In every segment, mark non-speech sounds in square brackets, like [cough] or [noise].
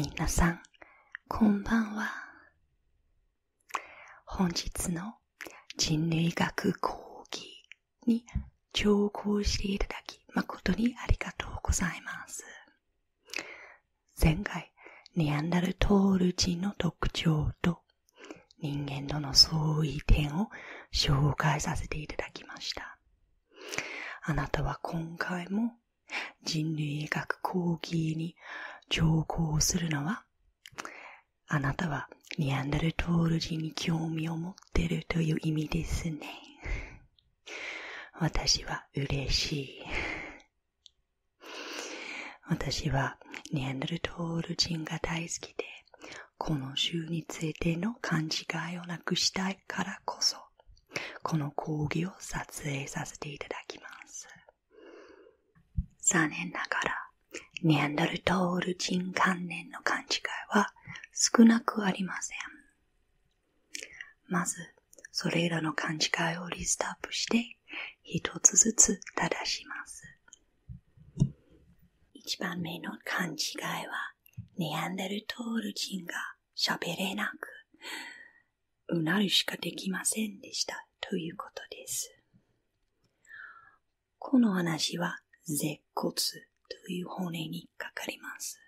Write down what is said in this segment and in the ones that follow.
みさん、こんばんは。本日の人類学講義に聴講していただき、誠にありがとうございます。前回、ニアンダルトール人の特徴と人間との相違点を紹介させていただきました。あなたは今回も人類学講義に上校するのはあなたはニアンダルトール人に興味を持ってるという意味ですね。私は嬉しい。私はニャンダルトール人が大好きで、この種についての勘違いをなくしたいからこそ、この講義を撮影させていただきます。残念ながら、ニャンダルトール人関連の勘違いは少なくありません。まず、それらの勘違いをリストアップして、1つずつ正します。一番目の勘違いは、ネアンデルトール人が喋れなく、うなるしかできませんでしたということです。この話は、舌骨という本音にかかります。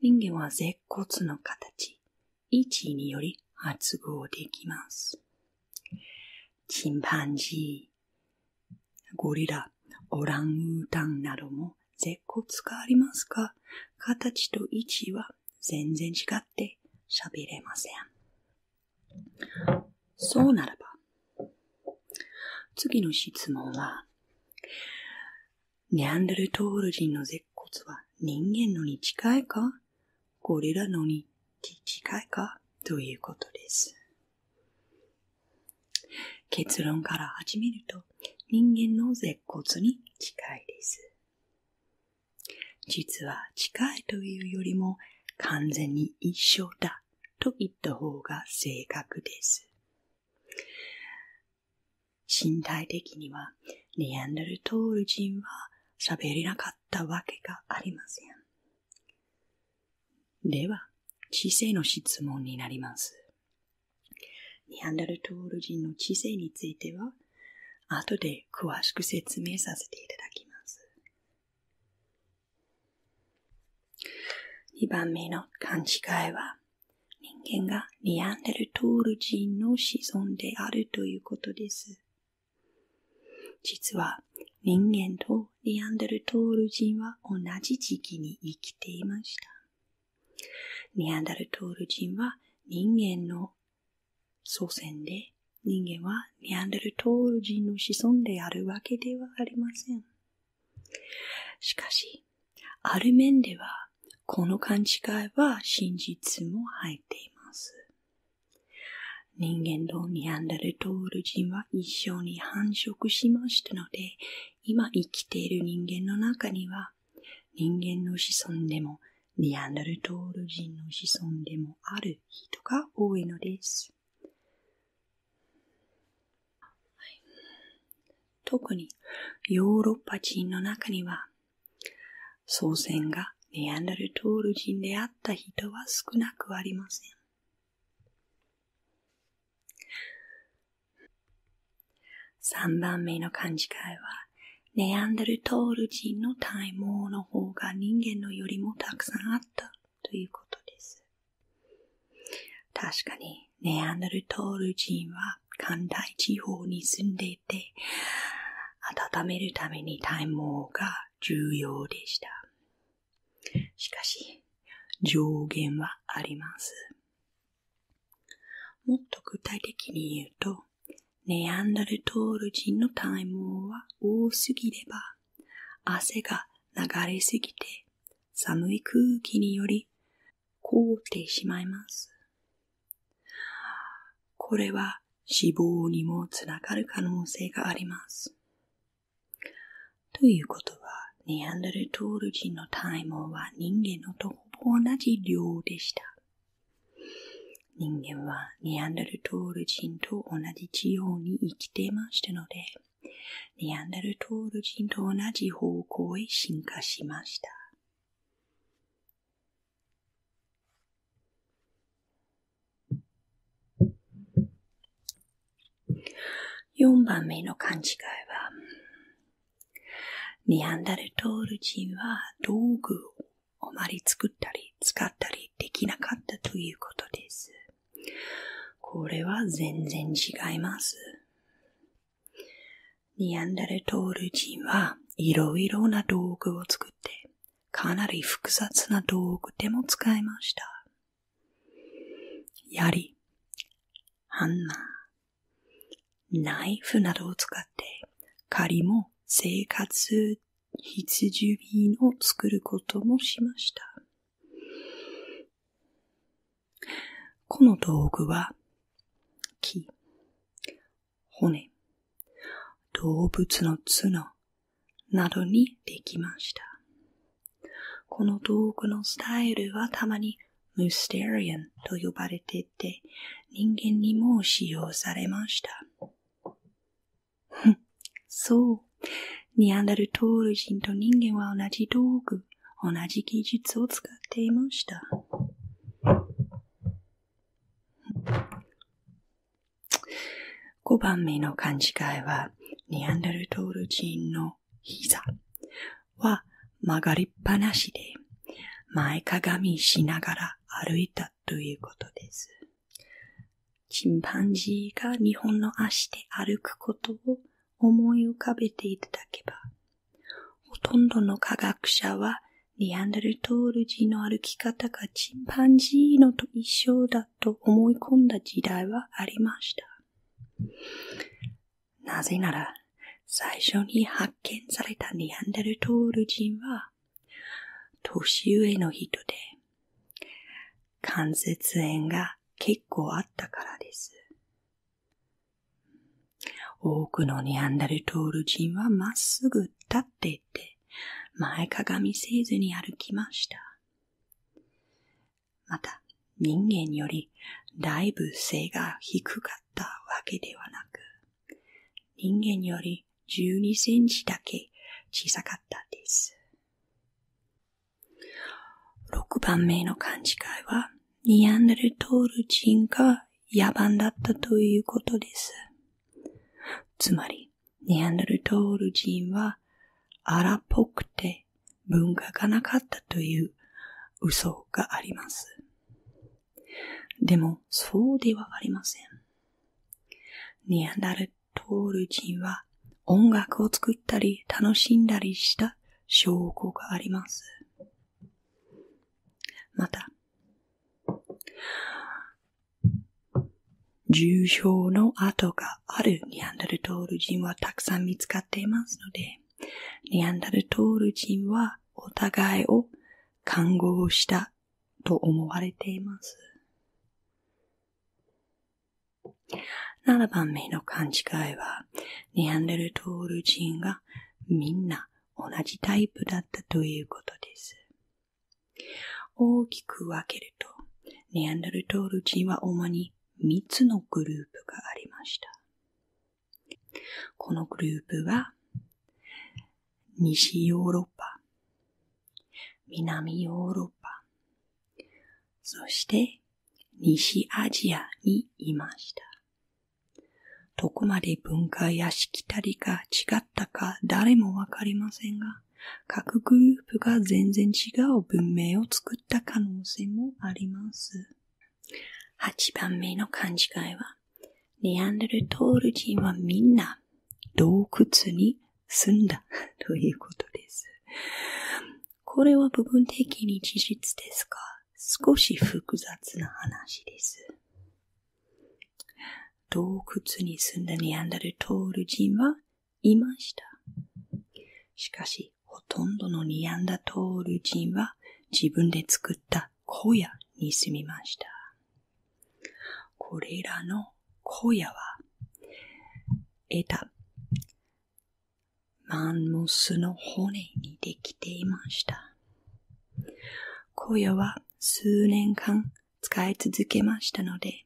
人間は舌骨の形、位置により発語できます。チンパンジー、ゴリラ、オランウータンなども舌骨がありますが、形と位置は全然違って喋れません。そうならば、次の質問は、ネアンデルトール人の舌骨は人間のに近いかこれらのに近いかということです。結論から始めると、人間の舌骨に近いです。実は近いというよりも完全に一緒だと言った方が正確です。身体的にはネアンダルトール人は喋れなかったわけがありません。では、知性の質問になります。ネアンダルトール人の知性については、後で詳しく説明させていただきます。2番目の勘違いは、人間がニアンダルトール人の子孫であるということです。実は人間とニアンダルトール人は同じ時期に生きていました。ニアンダルトール人は人間の祖先で、人間はニアンダルトール人の子孫であるわけではありません。しかし、ある面では、この勘違いは真実も入っています。人間とニアンダルトール人は一緒に繁殖しましたので、今生きている人間の中には、人間の子孫でもニャンダルトール人の子孫でもある人が多いのです。特にヨーロッパ人の中には、祖先がネアンダルトール人であった人は少なくありません。3番目の勘違いは、ネアンダルトール人の体毛の方が人間のよりもたくさんあったということです。確かに、ネアンダルトール人は寒帯地方に住んでいて、温めるために体毛が重要でした。しかし、上限はあります。もっと具体的に言うと、ネアンダルトール人の体毛は多すぎれば、汗が流れすぎて、寒い空気により凍ってしまいます。これは死亡にもつながる可能性があります。ということは、ネアンデルトール人の体毛は人間のとほぼ同じ量でした。人間はネアンデルトール人と同じ地方に生きていましたので、ネアンデルトール人と同じ方向へ進化しました。4番目の勘違いは、ニアンダルトール人は道具をあまり作ったり使ったりできなかったということです。これは全然違います。ニャンダルトール人はいろいろな道具を作って、かなり複雑な道具でも使いました。槍、ハンマー、ナイフなどを使って、仮も生活必需品を作ることもしました。この道具は、木、骨、動物の角などにできました。この道具のスタイルはたまにムステリアンと呼ばれていて、人間にも使用されました。そう。ニアンダルトール人と人間は同じ道具同じ技術を使っていました。5番目の勘違いは、ニアンダルトール人の膝は曲がりっぱなしで、前かがみしながら歩いたということです。チンパンジーが日本の足で歩くことを思い浮かべていただけば、ほとんどの科学者は、ニャンダルトール人の歩き方がチンパンジーのと一緒だと思い込んだ時代はありました。なぜなら、最初に発見されたニャンダルトール人は、年上の人で、関節炎が結構あったからです。多くのニャンダルトール人はまっすぐ立っていて、前かがみせずに歩きました。また、人間よりだいぶ背が低かったわけではなく、人間より12センチだけ小さかったです。6番目の勘違いは、ニアンデルトール人が野蛮だったということです。つまり、ニアンデルトール人は荒っぽくて文化がなかったという嘘があります。でも、そうではありません。ニアンダルトール人は音楽を作ったり楽しんだりした証拠があります。また、重症の跡があるニャンダルトール人はたくさん見つかっていますので、ニャンダルトール人はお互いを看護したと思われています。7番目の勘違いは、ネアンデルトール人がみんな同じタイプだったということです。大きく分けると、ネアンデルトール人は主に3つのグループがありました。このグループは、西ヨーロッパ、南ヨーロッパ、そして西アジアにいました。どこまで文化やしきたりが違ったか誰もわかりませんが、各グループが全然違う文明を作った可能性もあります。8番目の勘違いは、ネアンデルトール人はみんな洞窟に住んだということです。これは部分的に事実ですか？少し複雑な話です。洞窟に住んだニアンダルトール人はいました。しかし、ほとんどのニアンダトール人は自分で作った小屋に住みました。これらの小屋は、得たマンモスの骨にできていました。小屋は数年間使い続けましたので、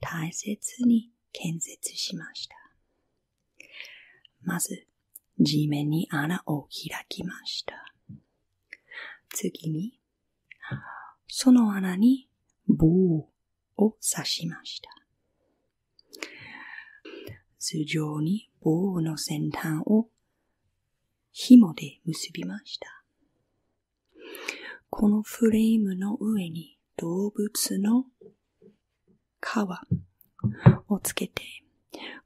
大切に建設しました。まず、地面に穴を開きました。次に、その穴に棒を刺しました。頭上に棒の先端を紐で結びました。このフレームの上に動物の皮をつけて、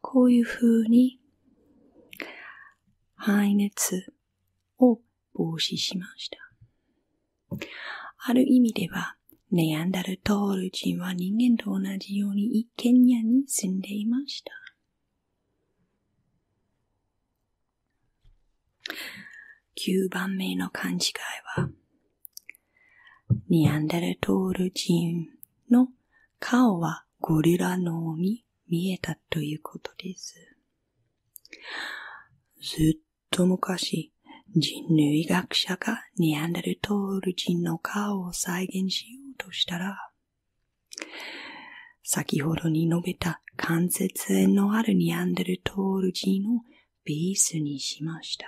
こういう風に排熱を防止しました。ある意味では、ネアンダルトール人は人間と同じように一軒家に住んでいました。9番目の勘違いは、ネアンダルトール人の顔はゴリラの脳に見えたということです。ずっと昔、人類学者がニャンダルトール人の顔を再現しようとしたら、先ほどに述べた関節炎のあるニャンダルトール人をベースにしました。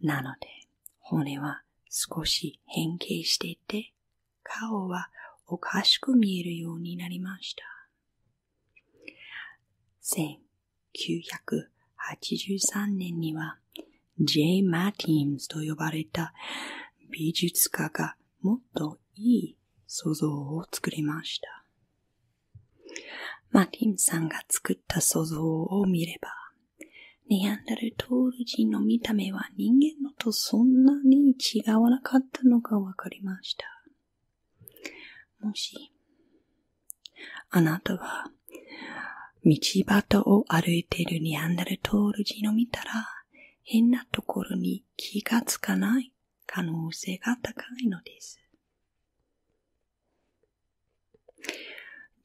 なので、骨は少し変形していて、顔はおかしく見えるようになりました。1983年には J. マティンズと呼ばれた美術家がもっといい想像を作りました。マティンさんが作った想像を見れば、ネアンダルトール人の見た目は人間のとそんなに違わなかったのが分かりました。もし、あなたは、道端を歩いているニャンダルトール人を見たら、変なところに気がつかない可能性が高いのです。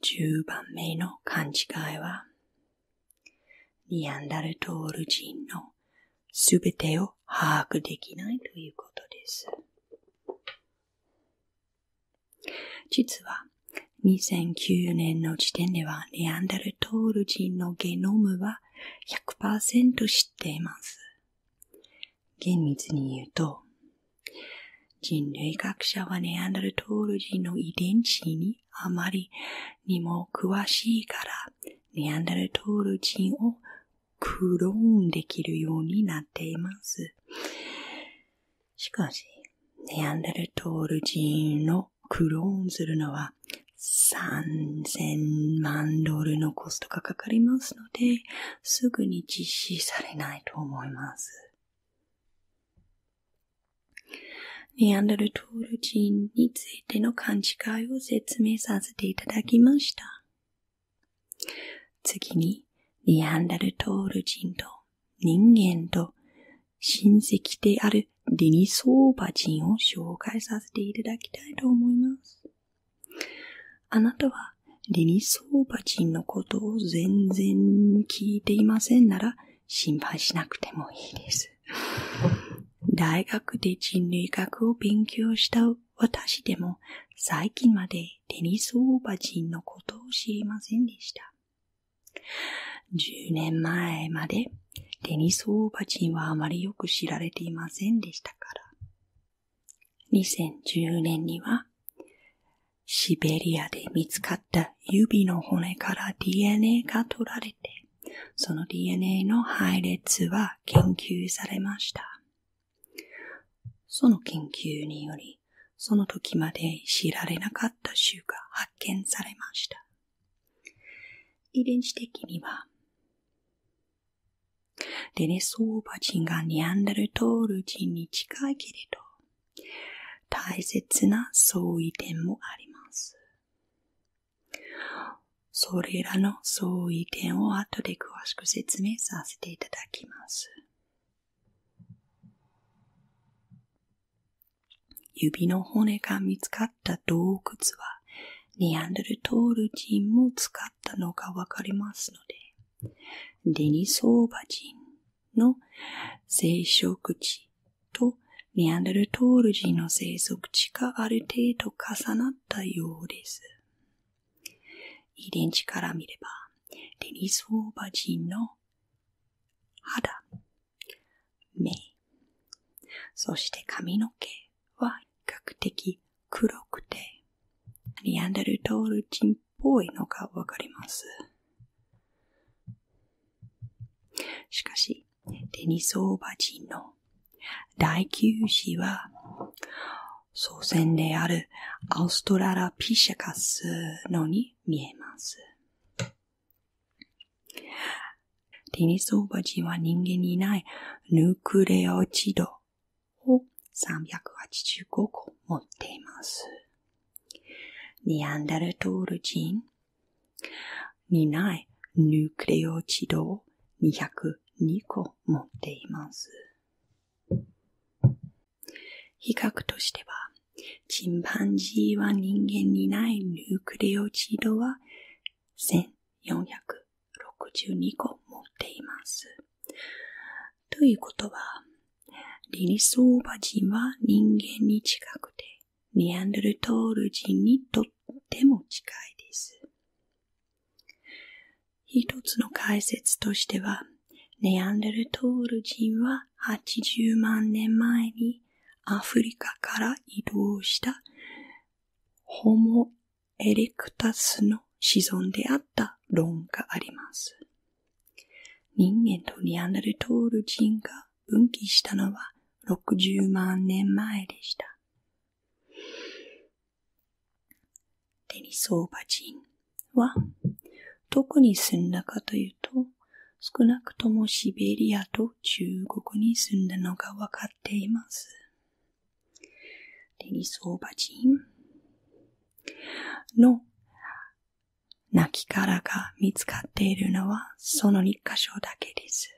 10番目の勘違いは、ニャンダルトール人のすべてを把握できないということです。実は、2009年の時点では、ネアンダルトール人のゲノムは100%知っています。厳密に言うと、人類学者はネアンダルトール人の遺伝子にあまりにも詳しいから、ネアンダルトール人をクローンできるようになっています。しかし、ネアンダルトール人のクローンするのは3000万ドルのコストがかかりますので、すぐに実施されないと思います。ネアンダルトール人についての勘違いを説明させていただきました。次に、ニアンダルトール人と人間と親戚であるデニソーバ人を紹介させていただきたいと思います。あなたはデニソーバ人のことを全然聞いていませんなら心配しなくてもいいです。大学で人類学を勉強した私でも最近までテニスオーバー人のことを知りませんでした。10年前までテニスオーバー人はあまりよく知られていませんでしたから。2010年にはシベリアで見つかった指の骨から DNA が取られて、その DNA の配列は研究されました。その研究により、その時まで知られなかった種が発見されました。遺伝子的には、デネソーバ人がニャンダルトール人に近いけれど、大切な相違点もあります。それらのの相違点を後で詳しく説明させていただきます。指の骨が見つかった洞窟は、ネアンデルトール人も使ったのがわかりますので、デニソーバ人の生殖地とネアンデルトール人の生息地がある程度重なったようです。遺伝子から見れば、デニスオーバ人の肌、目、そして髪の毛は比較的黒くて、リアンダルトール人っぽいのがわかります。しかし、デニスオーバ人の第9子は、祖先であるアウストララピシャカスのに見えます。テニスオーバジンは人間にないヌークレオチドを385個持っています。ニアンダルトール人にないヌークレオチドを202個持っています。比較としては、チンパンジーは人間にないヌクレオチードは1462個持っています。ということは、リリソーバ人は人間に近くて、ニアンドルトール人にとっても近いです。一つの解説としては、ネアンデルトール人は80万年前にアフリカから移動したホモ・エレクタスの子孫であった論があります。人間とネアンダルトール人が分岐したのは60万年前でした。テニソーバ人は、どこに住んだかというと、少なくともシベリアと中国に住んだのがわかっています。テニソーバ人の亡きからが見つかっているのはその2箇所だけです。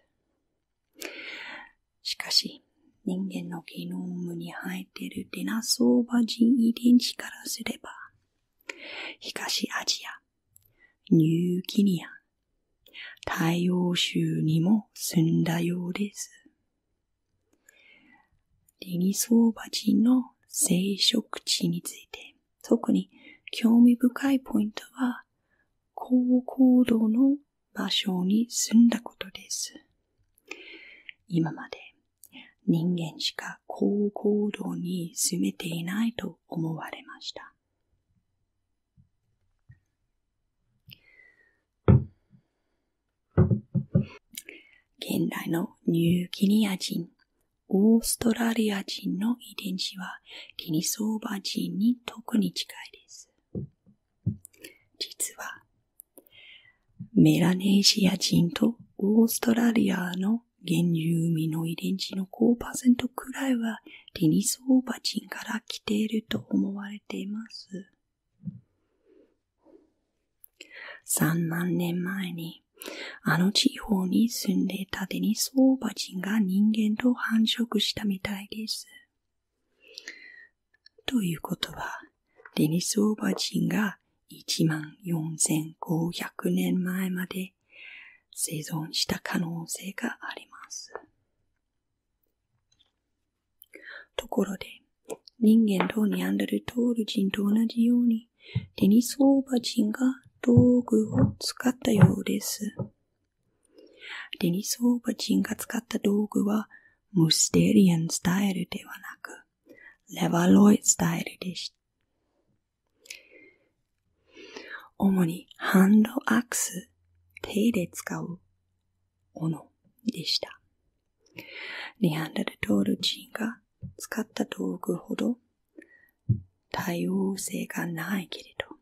しかし、人間のゲノームに生えているデナソーバ人遺伝子からすれば、東アジア、ニューギニア、太陽州にも住んだようです。デニソーバ人の生殖地について、特に興味深いポイントは、高高度の場所に住んだことです。今まで人間しか高行動に住めていないと思われました。現代のニューギニア人、オーストラリア人の遺伝子はティニソーバ人に特に近いです。実はメラニーシア人とオーストラリアの原住民の遺伝子の5%くらいはデニスオーバ人から来ていると思われています。3万年前に、あの地方に住んでいたデニスオーバ人が人間と繁殖したみたいです。ということは、デニスオーバー人が1万4500年前まで生存した可能性があります。ところで、人間とニアンデルトール人と同じように、デニスオーバー人が道具を使ったようです。デニスオーバー人が使った道具は、ムステリアンスタイルではなく、レバロイスタイルでした。主にハンドアクス、手で使う、斧でした。リハンダルトール人が使った道具ほど多様性がないけれど、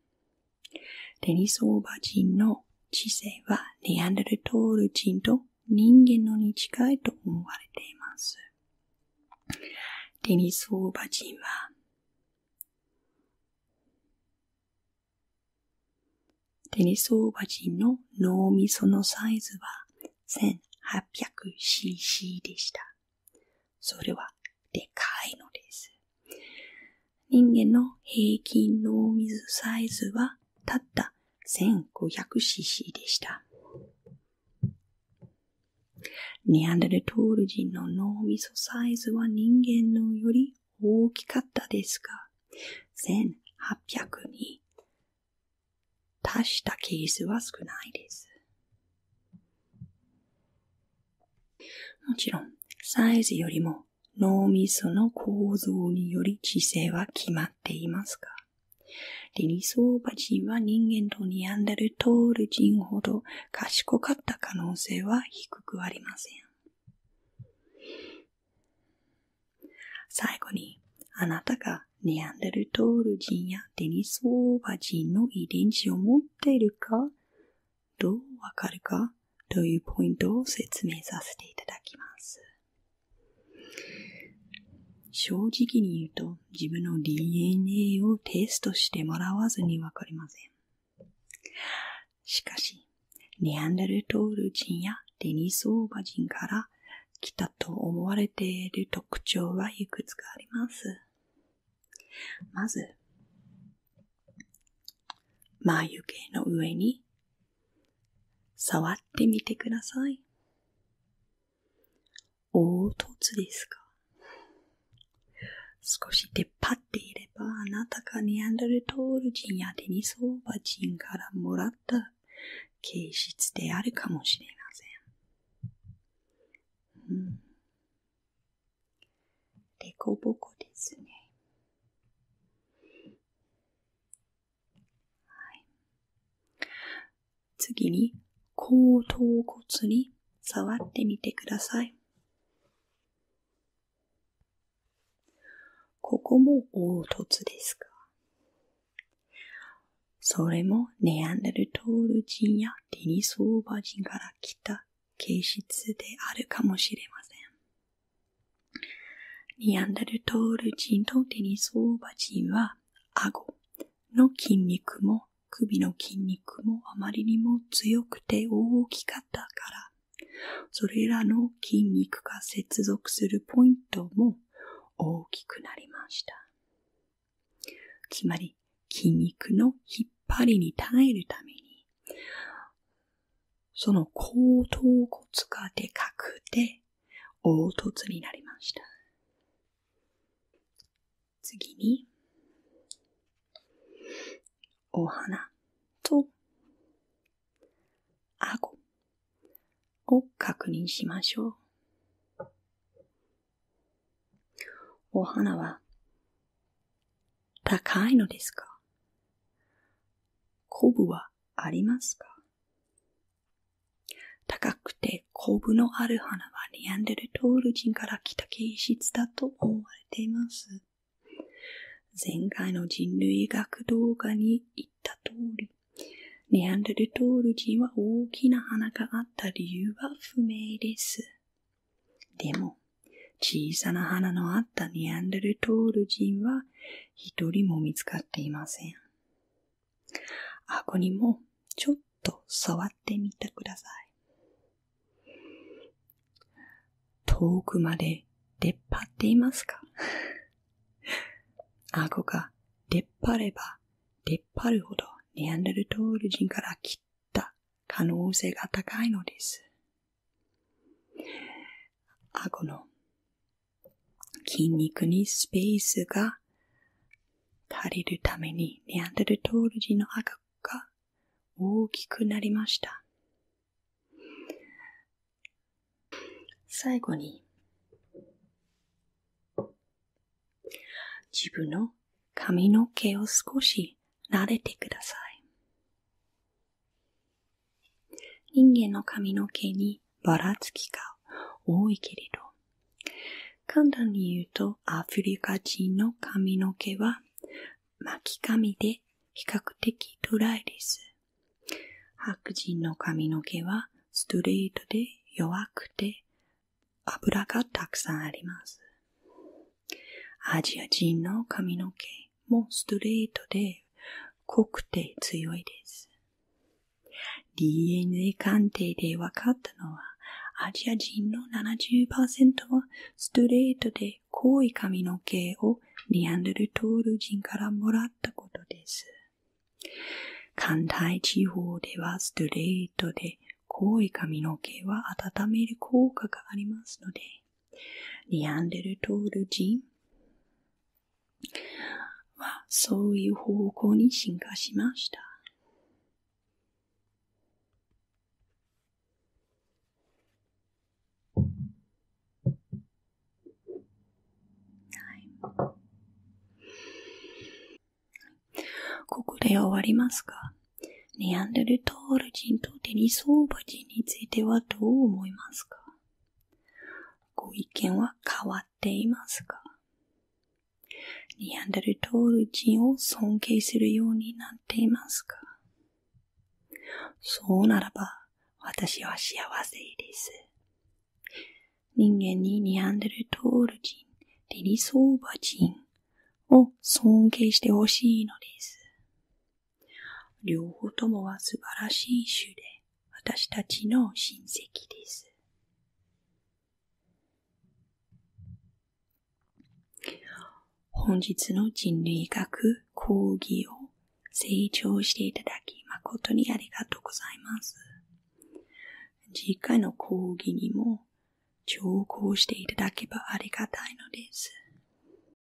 テニスオーバー人の知性はネアンデルトール人と人間のに近いと思われています。デニスオーバ人は、デニスオーバ人の脳みそのサイズは 1800cc でした。それはでかいのです。人間の平均脳お水サイズはたった 1500cc でした。ネアンデルトール人の脳みそサイズは人間のより大きかったですが、1800に達したケースは少ないです。もちろん、サイズよりも脳みその構造により知性は決まっていますか？デニソーバ人は人間とニアンダルトール人ほど賢かった可能性は低くありません。最後に、あなたがニアンダルトール人やデニソーバ人の遺伝子を持っているか、どうわかるかというポイントを説明させていただきます。正直に言うと自分の DNA をテストしてもらわずに分かりません。しかし、ネアンダルトール人やデニスオーバ人から来たと思われている特徴はいくつかあります。まず、眉毛の上に触ってみてください。凹凸ですか少し出っ張っていれば、あなたがネアンダルトール人やデニソーバ人からもらった形質であるかもしれません。うん。でこぼこですね。次に、後頭骨に触ってみてください。ここも凹凸ですかそれもネアンデルトール人やテニスオーバー人から来た形質であるかもしれません。ニアンダルトール人とデニソーバ人は、顎の筋肉も首の筋肉もあまりにも強くて大きかったから、それらの筋肉が接続するポイントも大きくなりました。つまり、筋肉の引っ張りに耐えるために、その後頭骨がでかくて、凹凸になりました。次に、お花と顎を確認しましょう。お花は高いのですかコブはありますか高くてコブのある花はネアンデルトール人から来た形質だと思われています。前回の人類学動画に言った通り、ネアンデルトール人は大きな花があった理由は不明です。でも、小さな花のあったネアンデルトール人は一人も見つかっていません。顎にもちょっと触ってみてください。遠くまで出っ張っていますか [laughs] 顎が出っ張れば出っ張るほどネアンデルトール人から切った可能性が高いのです。顎の筋肉にスペースが足りるためにネアンデルトール人の顎が大きくなりました。最後に自分の髪の毛を少し慣れてください。人間の髪の毛にばらつきが多いけれど、簡単に言うとアフリカ人の髪の毛は巻き髪で比較的ドライです。白人の髪の毛はストレートで弱くて油がたくさんあります。アジア人の髪の毛もストレートで濃くて強いです。DNA 鑑定で分かったのは、アジア人の70%はストレートで濃い髪の毛をニアンドルトール人からもらったことです。関西地方ではストレートで濃い髪の毛は温める効果がありますので、ネアンデルトール人はそういう方向に進化しました。ここで終わりますかネアンデルトール人とテニソーバ人についてはどう思いますかご意見は変わっていますかニャンダルトール人を尊敬するようになっていますかそうならば、私は幸せです。人間にニャンダルトール人、デリソーバ人を尊敬してほしいのです。両方ともは素晴らしい種で、私たちの親戚です。本日の人類学講義を成長していただき、誠にありがとうございます。次回の講義にも、聴講していただけばありがたいのです。